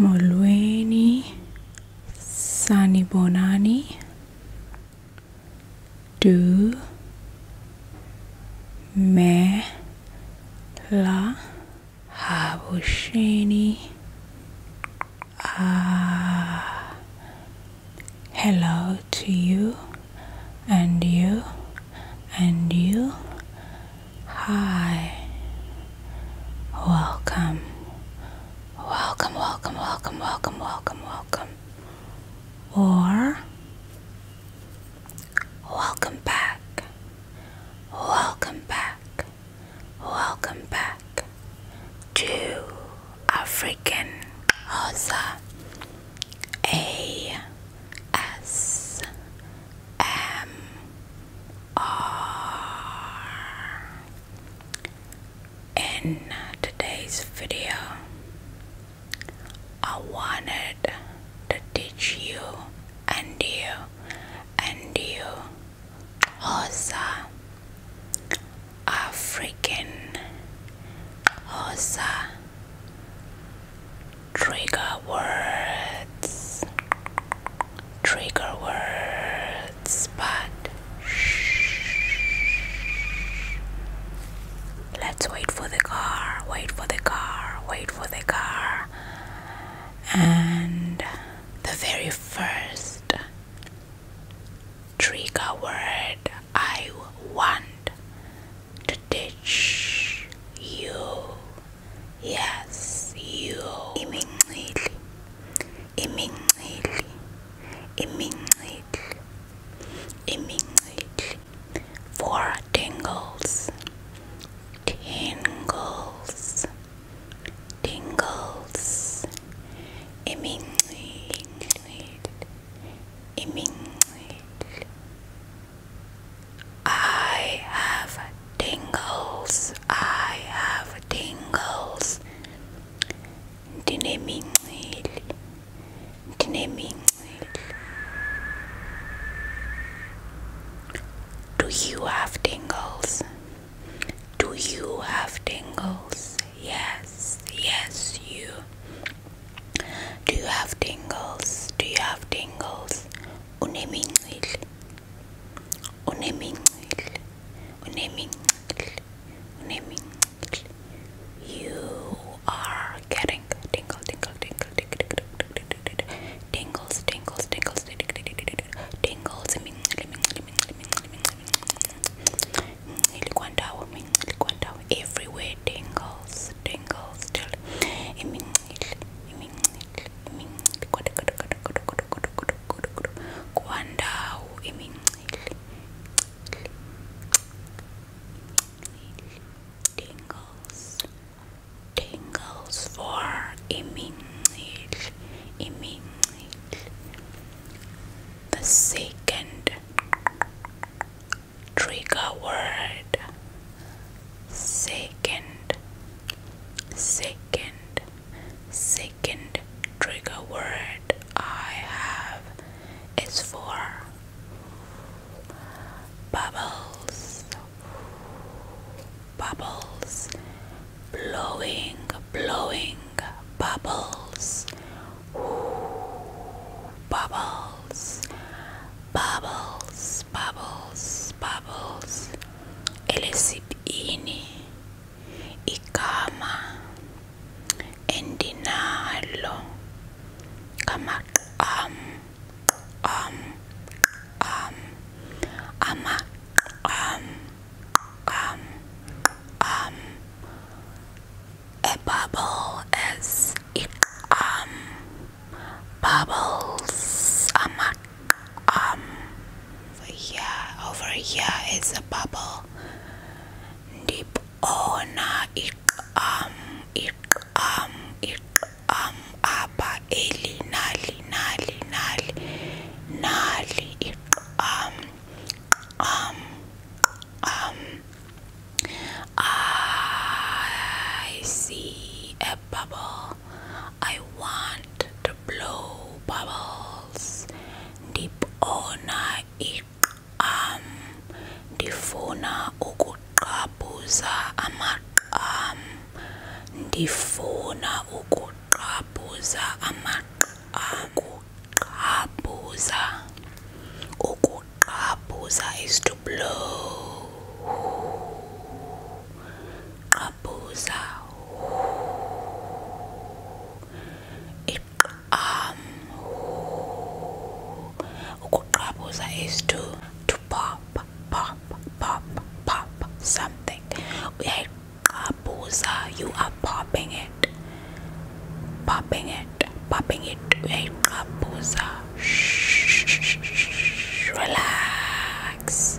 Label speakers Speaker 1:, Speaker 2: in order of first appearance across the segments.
Speaker 1: Molweni, sanibonani. Du, me, la, Ah, hello to you, and you, and you, Hi. Welcome. Welcome, welcome, welcome, welcome, welcome, welcome. Or welcome back. Welcome back. Welcome back to African A S M R. In today's video, I wanted to teach you and you and you Hosa African Hosa trigger words trigger words, but shh. let's wait for the car, wait for the car, wait for the car, and the very first trigger word I want to teach you yes you imincili imincili imincili imincili for tingles tingles tingles imincili imincili I have tingles. I have tingles. Dinemincil. Dinemincil. Do you have tingles? Do you have tingles? Yes, yes, you. Do you have tingles? Do you have tingles? unemincili unemincili unemincili unemincili you are getting tingle tingle tingle tingle tingles tingles tingles tingles everywhere tingles tingles still kwandawo imincili tingles tingles for imincili imincili the second trigger word second Second, second trigger word I have is for bubbles, bubbles, blowing, blowing, bubbles, bubbles, bubbles, bubbles, bubbles. Ele ini igama endinalo ngamaqam qam qam amaqam qam qam a bubble is iqam bubbles amaqam um yeah over here is a bubble deep ona oh, ik um ik um ik um apa eli nali nali nali nali um um um I see a bubble I want to blow bubbles. Ndibona iqam ndifuna ukuqabuza amaqam ndifuna ukuqabuza amaqam ukuqabuza ukuqabuza is to blow Abuza um ukuqabuza is to to pop pop pop pop something uyayiqabuza you are popping it popping it popping it uyayiqabuza relax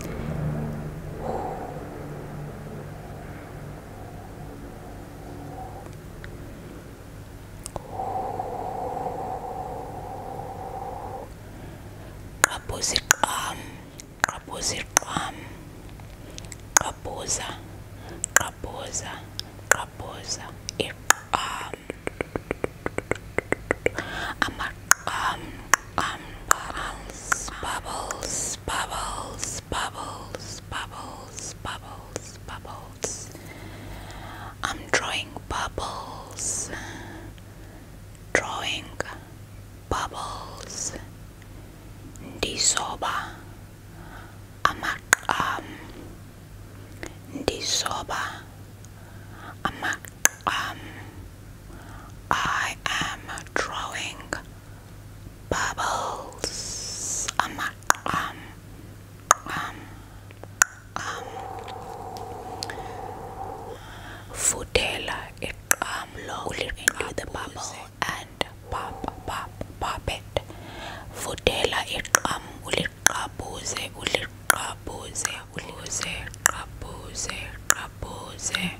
Speaker 1: qabuziqam qabuziqam qabuza qabuza qabuza iqam um, um, bubbles, bubbles, bubbles, bubbles, bubbles, bubbles, bubbles. I'm drawing bubbles, drawing bubbles. Disoba, amak, um, disoba, amak, um. I am drawing bubbles on my arm. Um, um, um, um. Futela it um lowly into the bubble and pop pop pop it. Futela it um ulikabuze ulikabuze ulize kabuze kabuze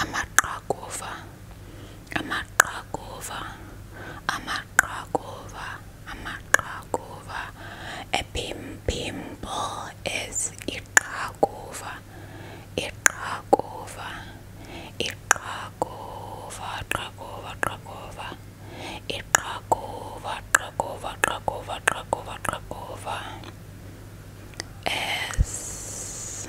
Speaker 1: amaqhakuva amaqhakuva amaqhakuva amaqhakuva a pimple is iqhakuva iqhakuva iqhakuva qhakuva qhakuva iqhakuva qhakuva qhakuva qhakuva qhakuva S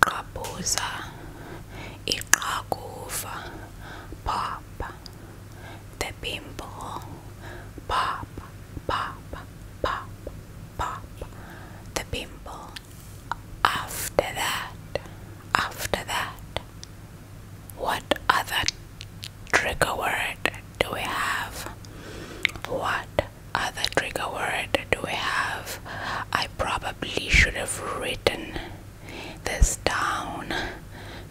Speaker 1: Qabuza iqakuva papa the pimple papa papa papa papa the pimple after that after that what other trigger word do we have what other trigger word do we have I probably should have written this down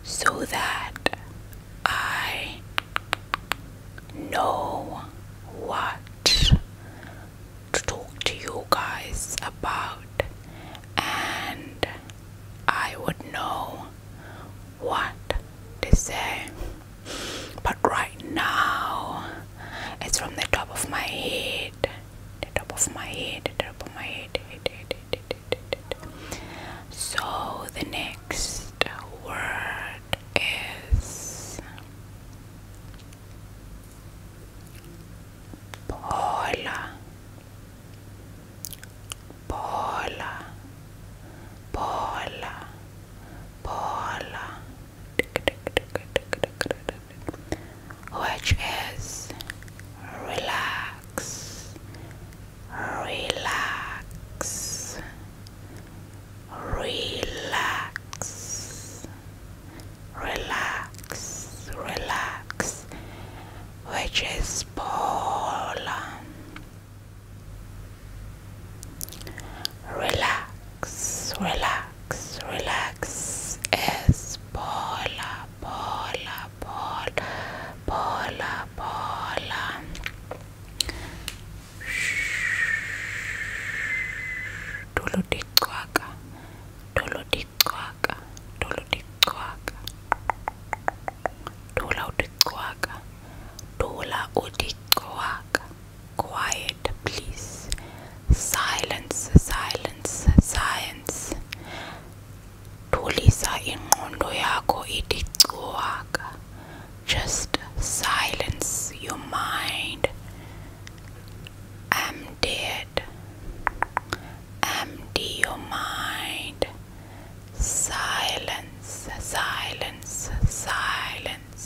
Speaker 1: so that I know what to talk to you guys about, and I would know what to say. But right now, it's from the top of my head the top of my head, the top of my head, head, head, head, head, head, head. So the next word is Paula. Paula. Paula. Paula. Paula which is relax, relax, relax, relax, relax, which is Poland. Relax relax, relax, relax. Es bola, bola, bola, bola, bola. Dulu dicwaka, dulu dicwaka, dulu dicwaka. Dula udicwaka, dula udicwaka. Quiet, please silence silence science thulisa ingqondo yakho ithi cuwaka just silence your mind empty it empty your mind silence silence silence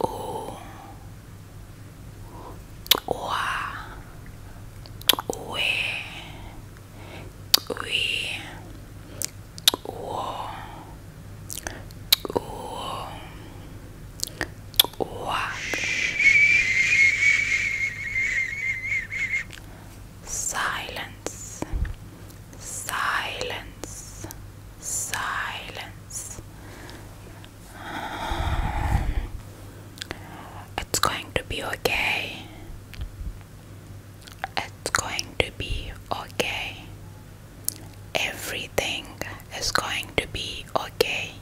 Speaker 1: o oa ue ui uo uo oa silence silence silence. It's going to be okay. It's going to be okay. Everything is going to be okay.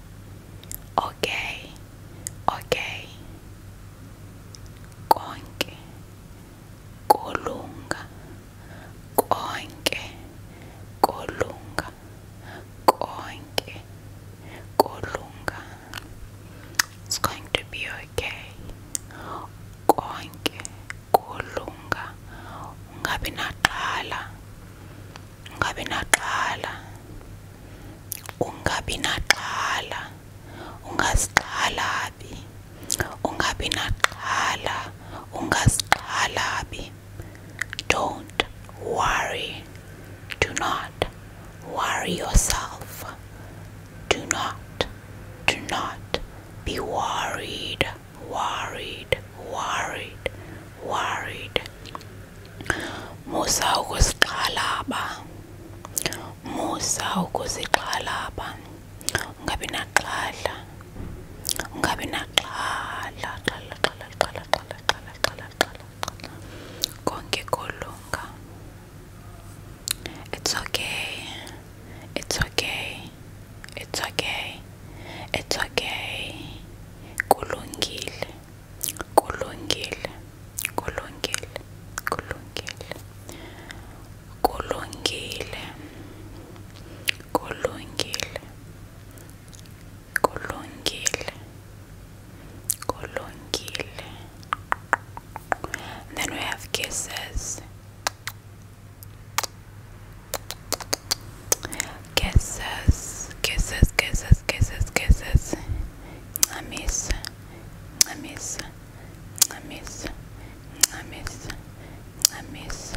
Speaker 1: Okay. Okay. Konke kulunga konke kolunga konke kolunga It's going to be okay konke kolunga ungabi naxhala ungabi naxhala ungabi naxhala ungazixhalabi ungabi naxhala ungazixhalabi don't worry. Do not worry yourself. Do not, do not be worried, worried, worried, worried. Musa ukuziqhalaba. Musa ukuziqhalaba. Ungabi naxhala ungabi naxhala xhala xhala xhala xhala xhala xhala xhala xhala konke kolunga it's okay it's okay it's okay it's okay kulungile kulungile kulungile kulungile kulungile Kolungile Kolungile Kolungile and then we have kisses Kisses Kisses kisses kisses kisses miss miss miss miss miss miss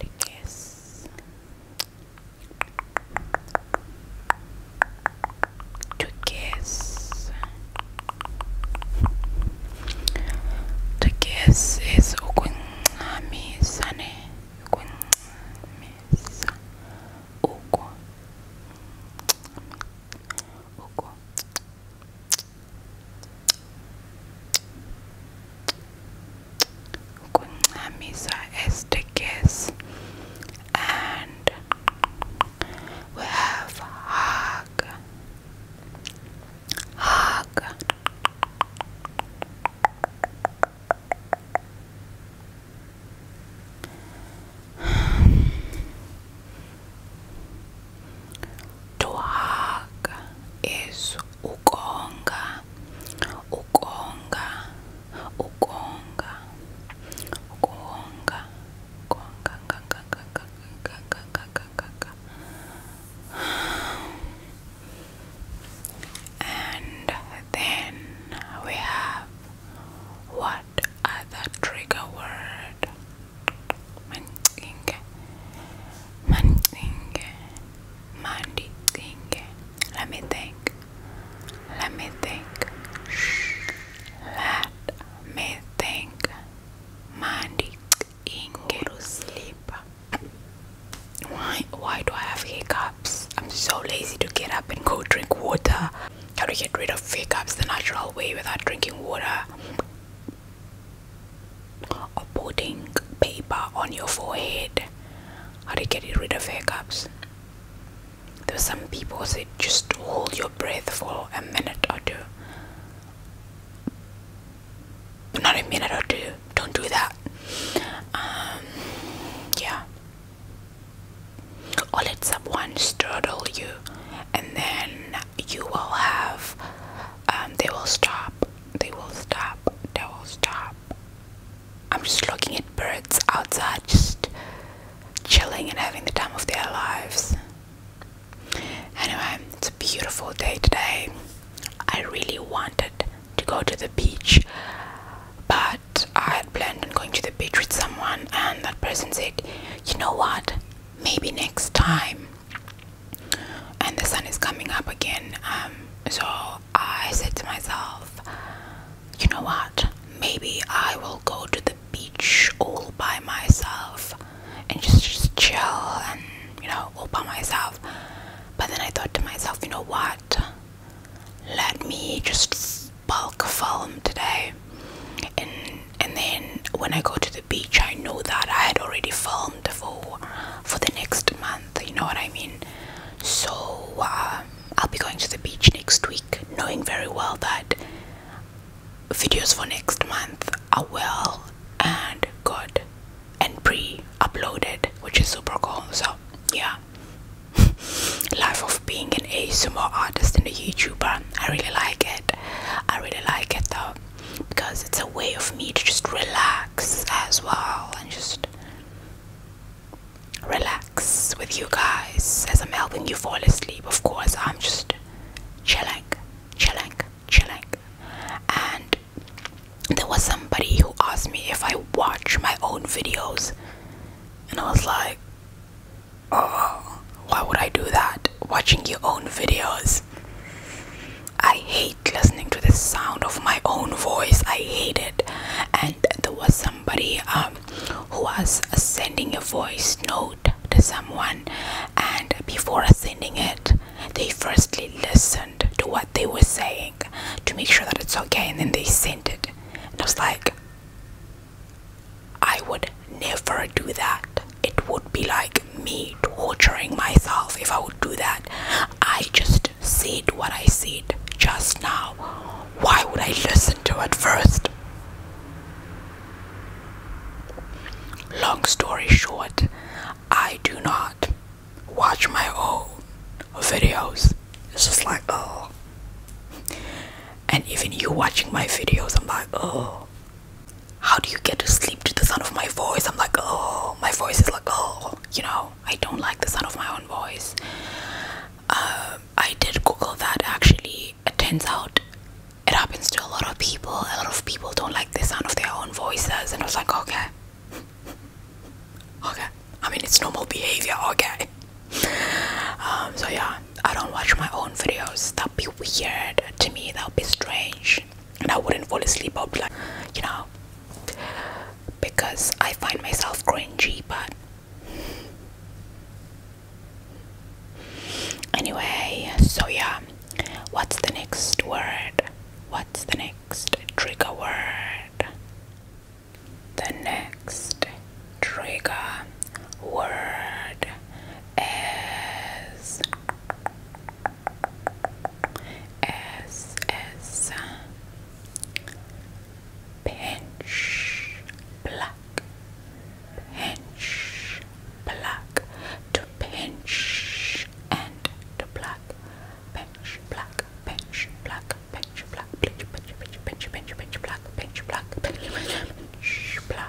Speaker 1: The kiss. To kiss. The kiss is ukunqamisane ukunqamisa ukunqamisa Uku. Kuna misa SDKs and we have hug hug Tuhaga is ukonga, ukonga, ukonga, ukonga, ukonga, and then we have wa other trigger word? Mandinge, mandinge, mandinge. Let me think. Let me think. Let me think. Mandinge. to sleep. Why? Why do I have hiccups? I'm so lazy to get up and go drink water. How to get rid of fake ups the natural way without drinking water or putting paper on your forehead? How to you get rid of fake ups? There were some people said just hold your breath for a minute or two. Not a minute or two. Don't do that. Um, yeah or let someone straddle you and then you will have um, they will stop they will stop they will stop i'm just looking at birds outside just chilling and having the time of their lives anyway it's a beautiful day today i really wanted to go to the beach but i had planned on going to the beach with someone and that person said you know what maybe next time and the sun is coming up again um, so i said to myself you know what maybe i will go to the beach all by myself and just just chill and you know all by myself but then i thought to myself you know what let me just bulk film today and and then when I go to the beach I know that I had already filmed for for the next month you know what I mean so uh, I'll be going to the beach next week knowing very well that videos for next month are well and good and pre-uploaded which is super cool so yeah life of being an ASMR artist and a YouTuber I really like it I really like it though because it's a way of me to just relax as well and just relax with you guys as I'm helping you fall asleep. Of course, I'm just chilling, chilling, chilling. And there was somebody who asked me if I watch my own videos, and I was like, Oh, why would I do that? Watching your own videos. I hate listening to the sound of my own voice. I hate it. And there was somebody um, who was sending a voice note to someone, and before sending it, they firstly listened to what they were saying to make sure that it's okay, and then they sent it. And I was like, I would never do that. It would be like me torturing myself if I would do that. I just said what I said just now. Why would I listen to it first? Long story short, I do not watch my own videos. It's just like, oh. And even you watching my videos, I'm like, oh, how do you get to sleep to the sound of my voice? I'm like, oh, my voice is like, oh, you know, I don't like the sound of my own voice. Uh, I did Google that actually. It turns out it happens to a lot of people. A lot of people don't like the sound of their own voices. And I was like, okay. okay. I mean, it's normal behavior, okay. Um, so yeah, I don't watch my own videos that would be weird to me, that would be strange, and I wouldn't fall asleep. I'd be like, you know, because I find myself cringy, but anyway, so yeah, what's the next word? What's the next trigger word? The next trigger word is S S pinch black pinch black to pinch and to black pinch black pinch black pinch black pinch pinch pinch pinch pinch pinch black pinch black pinch black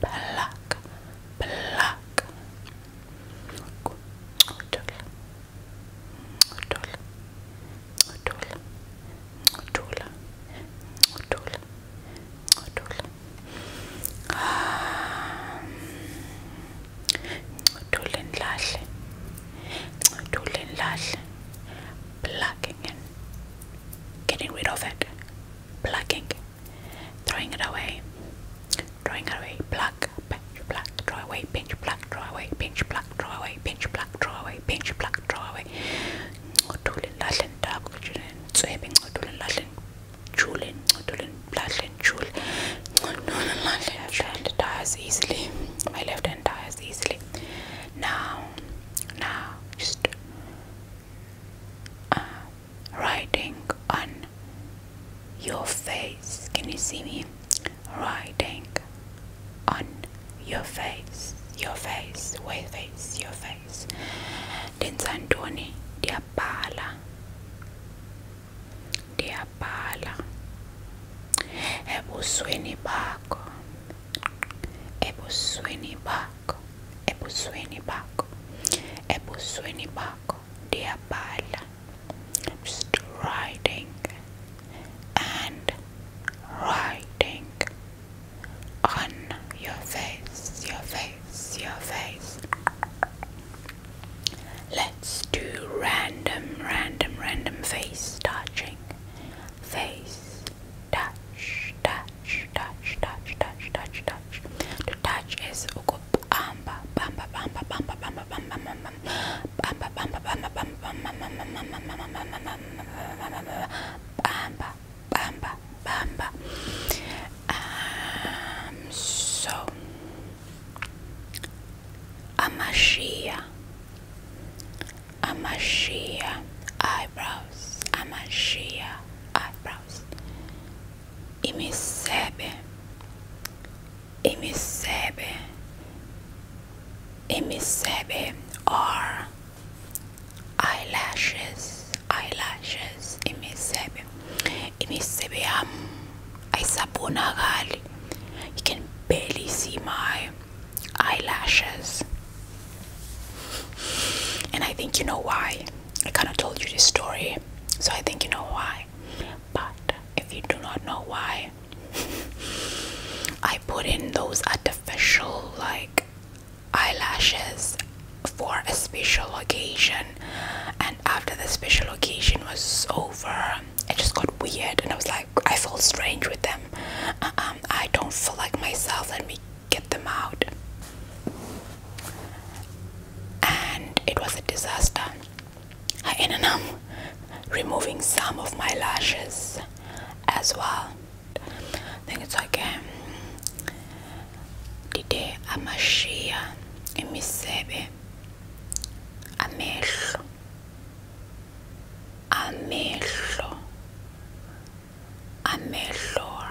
Speaker 1: pluck, pluck. Plucking in, getting rid of it, plucking, Throwing it away. Throwing it away. Pluck, pinch, pluck, throw away, pinch, pluck, throw away, pinch, pluck, throw away, pinch, pluck, throw away, pinch, pluck, throw away. Odulin lahlin dab, chulin, swebing, odulin lahlin, chulin, odulin lahlin, chul. Odulin lahlin, left hand tires easily. My left hand tires easily. Now, now, just uh, writing on your face. Can you see me? writing on your face, your face, way face, your face. Then Denzandoni diabala, diabala. Ebusweni bakho, ebusweni bakho, ebusweni bakho, ebusweni bakho dear pal. Just writing and writing on your face, your face, your face. Let's do random, random, random face touching. Face, touch, touch, touch, touch, touch, touch, touch. To touch is ukup, bamba bamba um, so amashia amashia eyebrows amashia eyebrows e me recebe, e me recebe, e me recebe, or eyelashes, eyelashes, e me recebe, e me recebe, um, aisabonakali. You can barely see my eyelashes. And I think you know why. I kind of told you this story so I think you know why. But if you do not know why, I put in those artificial like eyelashes for a special occasion, and after the special occasion was over, it just got weird, and I was like, I felt strange with them. Uh-uh, I don't feel like myself. Let me get them out and it was a disaster. I ended up removing some of my lashes as well. I think it's like um, Dide Amashia Emisebe Amehlo Amehlo Amehlo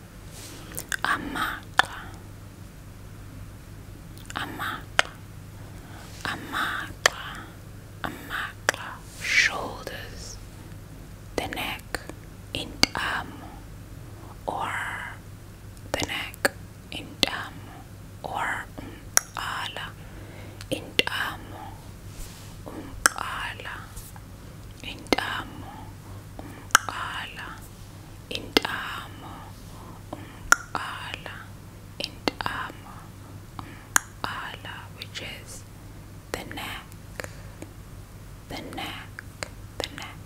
Speaker 1: Amaka. Amaka. Amaka. Amaka. Shoulders. The neck in arm or the neck in arm or ala in arm ala in arm ala intamo umqala intamo umqala which is the neck the neck the neck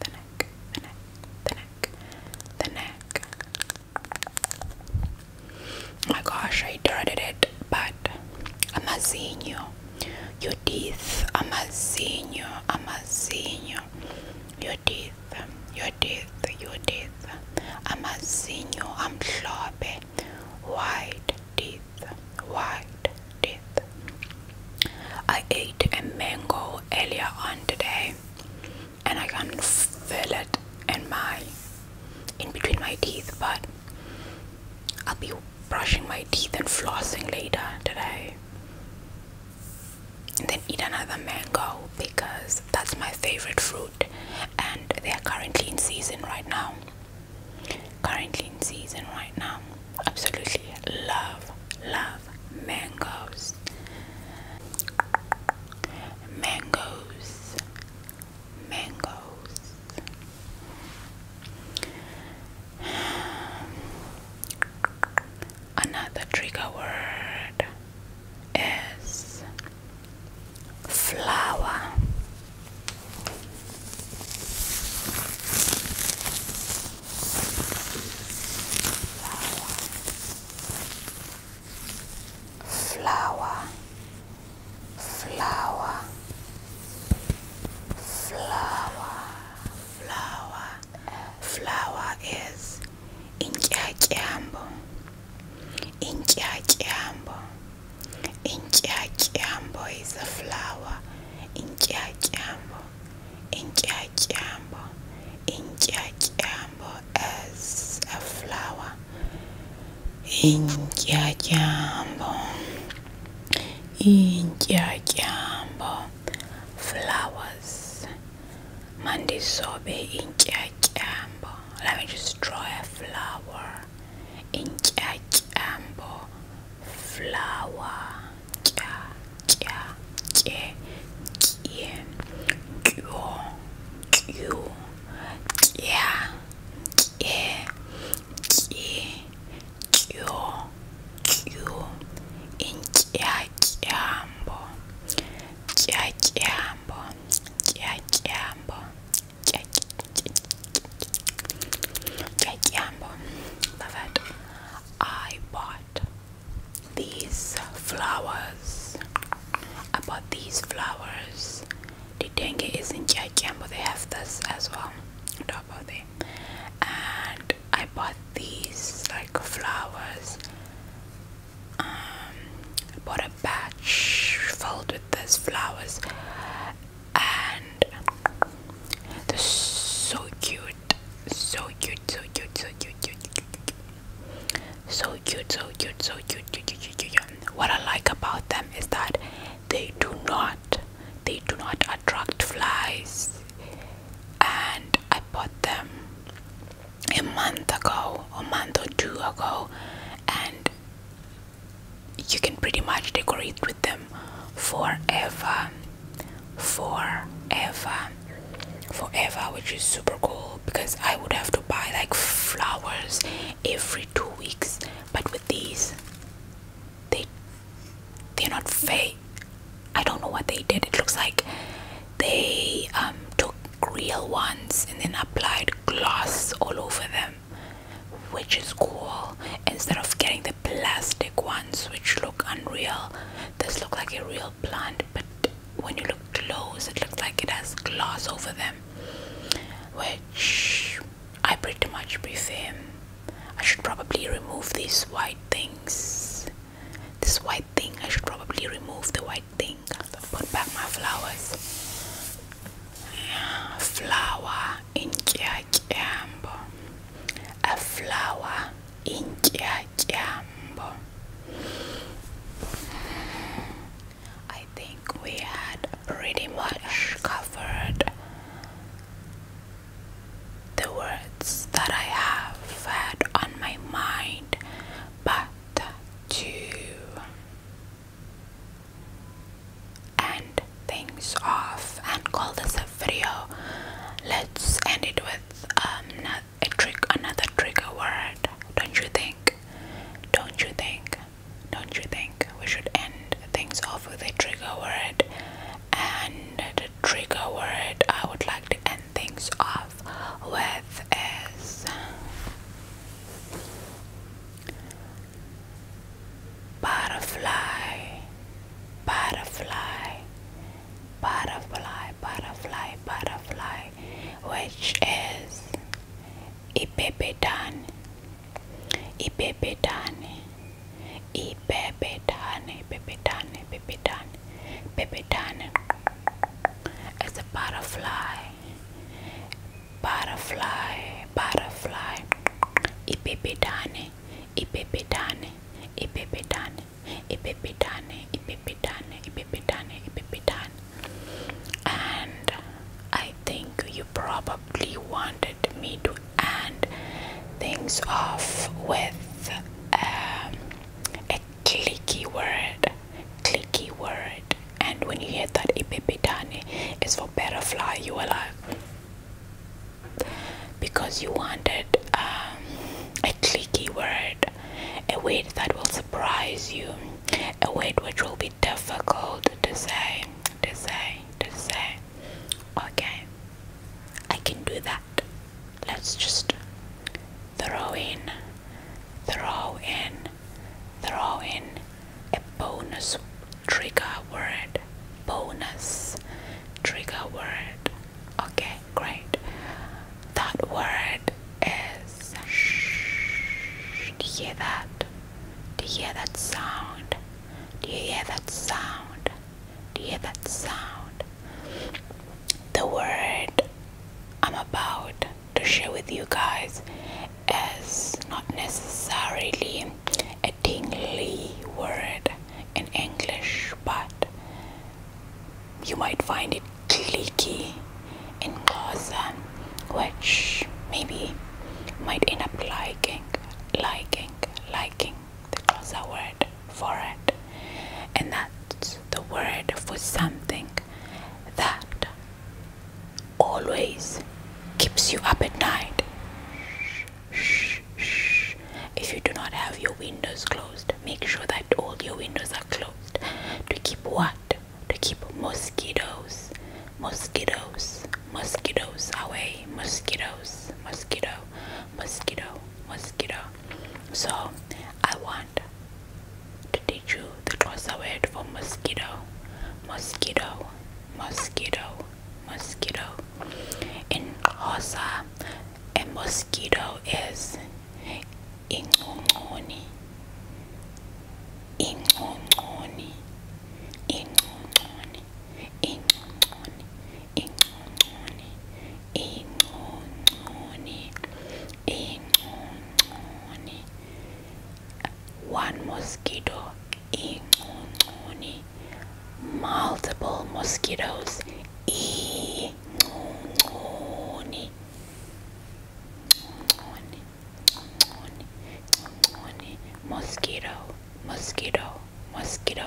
Speaker 1: the neck the neck the neck the neck my gosh I dreaded it but amazinho your teeth amazinho amazinho your teeth your teeth your teeth I'm I'm a amhlophe white teeth white teeth I ate a mango earlier on today and I can feel it in my in between my teeth but I'll be brushing my teeth and flossing later today and then eat another mango because that's my favorite fruit and they are currently in season right now currently in season right now absolutely love love mangoes mangoes mangoes Another trigger word is flower. Flower, flower, flower, flower, flower, flower is intyatyambo intyatyambo intyatyambo is a flower intyatyambo intyatyambo intyatyambo is a flower intyatyambo intyatyambo flowers. Mandisobe intyatyambo. Let me just draw a flower. In Intyatyambo flower. Kya kya kye kye. Kyo kyo kya kye kye kyo kyo. Intyatyambo kya kyambo kya kyambo love it I bought these flowers I bought these flowers the dengue is in kya kyambo they have this as well on top of and I bought these like flowers. Um, I bought a batch filled with these flowers, and they're so cute, so cute, so cute, so cute, cute, cute, so cute, so cute, so cute, cute, cute, cute, cute. What I like about them is that they do not, they do not attract flies and I bought them a month ago, a month or two ago, and you can pretty much decorate with them forever, forever, forever, which is super cool because I would have to buy like flowers every two weeks, but with these, they they're not fake. I don't know what they did. It looks like they um, took real ones and then applied gloss all over them, which is cool. Instead of getting the plastic ones, which look unreal, this looks like a real plant. But when you look close, it looks like it has gloss over them, which I pretty much prefer. I should probably remove these white things this white thing I should probably remove the white thing put back my flowers flower in a flower in I think we had pretty much covered the words that I have had on my mind, but to end things off and call this a video. Let's end it with um, another trigger word. Don't you think? Don't you think? Don't you think we should end things off with a trigger word? And the trigger word I would like to end things off with is butterfly, butterfly, butterfly, butterfly, butterfly, which is ipepetan, ipepetan, y pepitane, pepitane, pepitane, pepitane. It's a butterfly, butterfly, butterfly. Y pepitane, y pepitane, y pepitane, y pepitane, y pepitane, y pepitane, y pepitane. And I think you probably wanted me to end things off with um, a clicky word clicky word and when you hear that ipepitane is for butterfly you are like because you wanted um, a clicky word a word that will surprise you a word which will be difficult to say to say to say okay I can do that let's just throw in, throw in, throw in a bonus trigger word. Bonus trigger word. Okay, great. That word is shh. Do you hear that? Do you hear that sound? Do you hear that sound? hear that sound? The word I'm about to share with you guys is not necessarily a tingly word in English, but you might find it clicky in Xhosa, which maybe might end up liking, liking, liking that was a word for it. And that's the word for something that always keeps you up at night. Shh, shh. If you do not have your windows closed, make sure that all your windows are closed. To keep what? To keep mosquitoes, mosquitoes, mosquitoes away. Mosquitoes, mosquito, mosquito, mosquito. So I want to teach you the Xhosa word for mosquito. Mosquito, mosquito, mosquito. and Xhosa, a mosquito is incuncuni, incuncuni, incuncuni, incuncuni, ingcongconi ingcongconi ingcongconi one mosquito ingcongconi multiple mosquitoes ingcongconi mosquito mosquito mosquito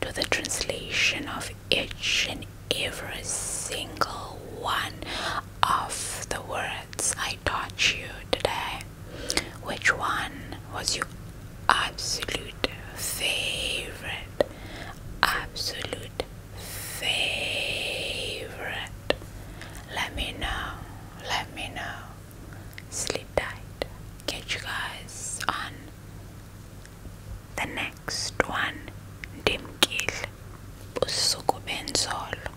Speaker 1: to the translation of each and every single one of the words I taught you today. Which one was your absolute favorite? Absolute favorite. Let me know. Let me know. Sleep tight. Catch you guys on the next one, ndimkile busuku benzolo.